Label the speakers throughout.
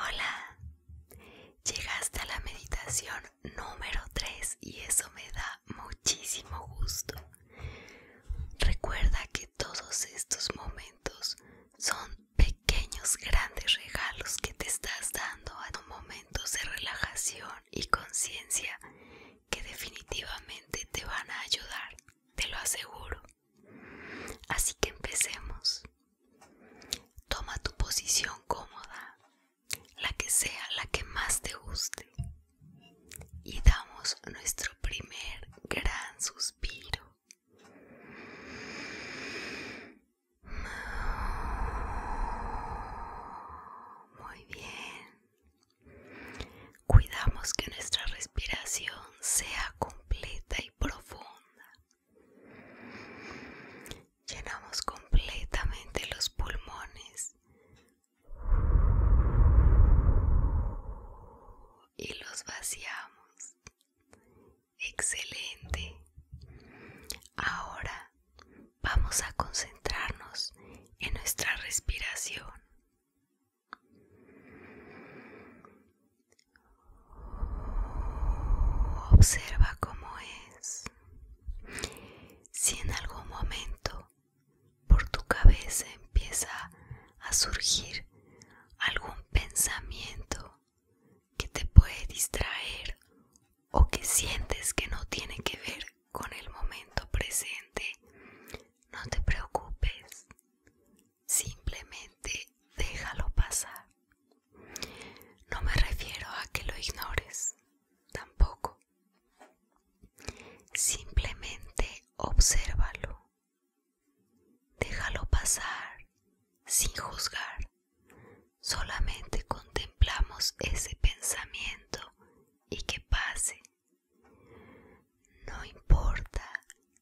Speaker 1: Hola, llegaste a la meditación número 3 y eso me da muchísimo gusto. Recuerda que todos estos momentos son pequeños grandes regalos que te estás dando a tus momentos de relajación y conciencia que definitivamente te van a ayudar, te lo aseguro. Así que empecemos. Toma tu posición cómoda, la que sea la que más te guste, y damos nuestro primer gran suspiro. Muy bien. Cuidamos que nuestra respiración sea completa y profunda. Llenamos completamente los pulmones y los vaciamos. Excelente. Ahora vamos a concentrarnos en nuestra respiración. Observa cómo es. Si en algún momento por tu cabeza empieza a surgir algún pensamiento que te puede distraer o que sientes que no tiene que ver con el momento presente, no te preocupes, simplemente déjalo pasar. No me refiero a que lo ignores, tampoco, Simplemente obsérvalo. Déjalo pasar sin juzgar. Solamente contemplamos ese pensamiento y que pase. No importa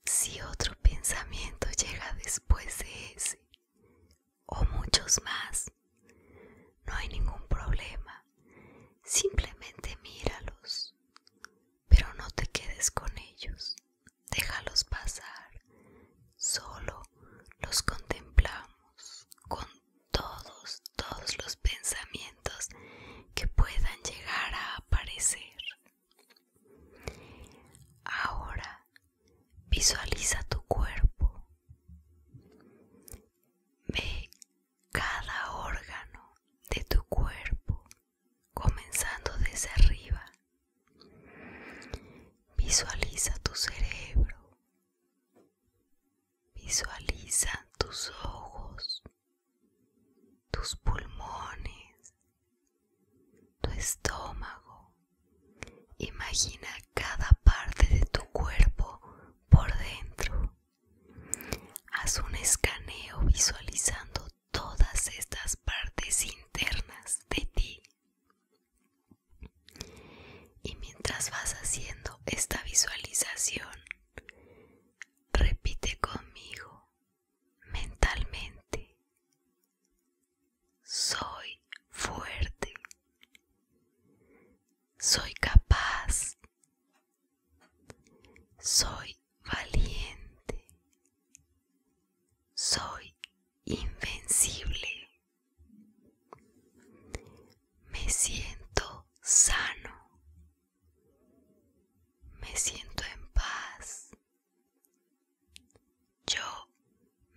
Speaker 1: si otro pensamiento llega después de ese o muchos más. No hay ningún problema. Simplemente míralos. Pero no te quedes con ellos. Déjalos pasar. Solo los contemplamos con todos, todos los pensamientos que puedan llegar a aparecer. Ahora Visualiza tu cuerpo. Ve cada órgano de tu cuerpo, comenzando desde arriba. Visualiza tu cerebro. Visualiza tus ojos, tus pulmones, tu estómago, Imagina cada parte de tu cuerpo por dentro. Haz un escaneo visualizando todas estas partes internas de ti. Y mientras vas haciendo esta visualización, repite conmigo mentalmente. Soy fuerte. Soy capaz. Soy valiente. Soy invencible. Me siento sano. Me siento en paz. Yo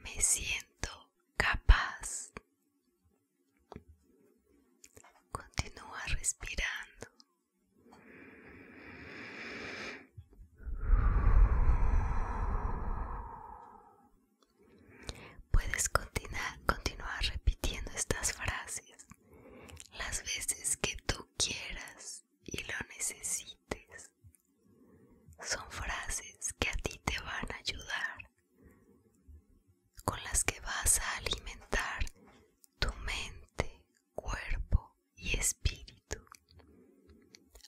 Speaker 1: me siento capaz. Continúa respirando. Puedes continuar, repitiendo estas frases las veces que tú quieras y lo necesites. Son frases que a ti te van a ayudar, con las que vas a alimentar tu mente, cuerpo y espíritu.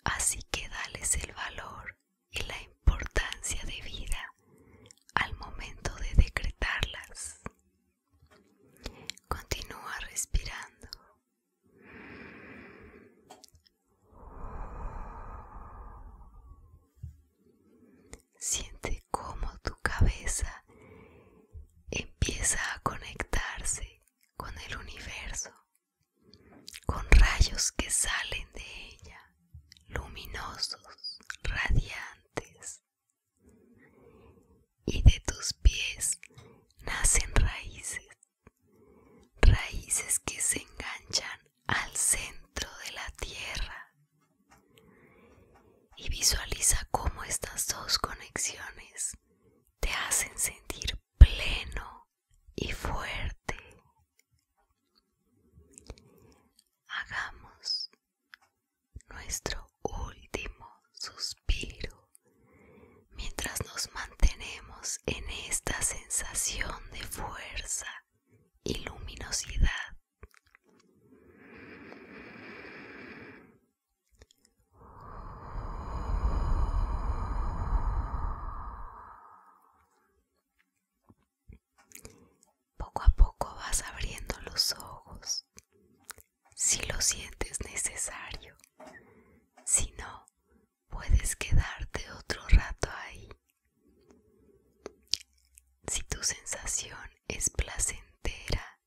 Speaker 1: Así que dales el valor y la importancia de vida al momento de decretarlas. Continúa respirando. Siente cómo tu cabeza empieza a conectarse con el universo, con rayos que salen de ella, luminosos, radiantes y de tus pies nacen raíces, raíces que se enganchan al centro de la tierra. Y visualiza cómo estas dos conexiones te hacen sentir pleno y fuerte. Hagamos nuestro último suspiro mientras nos mantenemos en esta sensación de fuerza y luminosidad. Poco a poco vas abriendo los ojos, si lo sientes necesario. Si no, puedes quedarte otro rato ahí. Si tu sensación es placentera,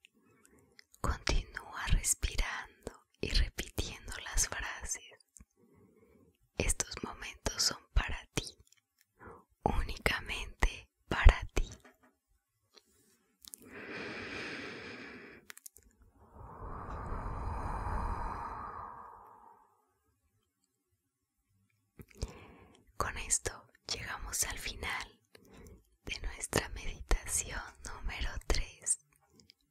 Speaker 1: continúa respirando y repitiendo las frases. Estos momentos son para ti únicamente para ti. Con esto llegamos al final de nuestra meditación número 3.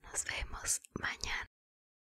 Speaker 1: Nos vemos mañana.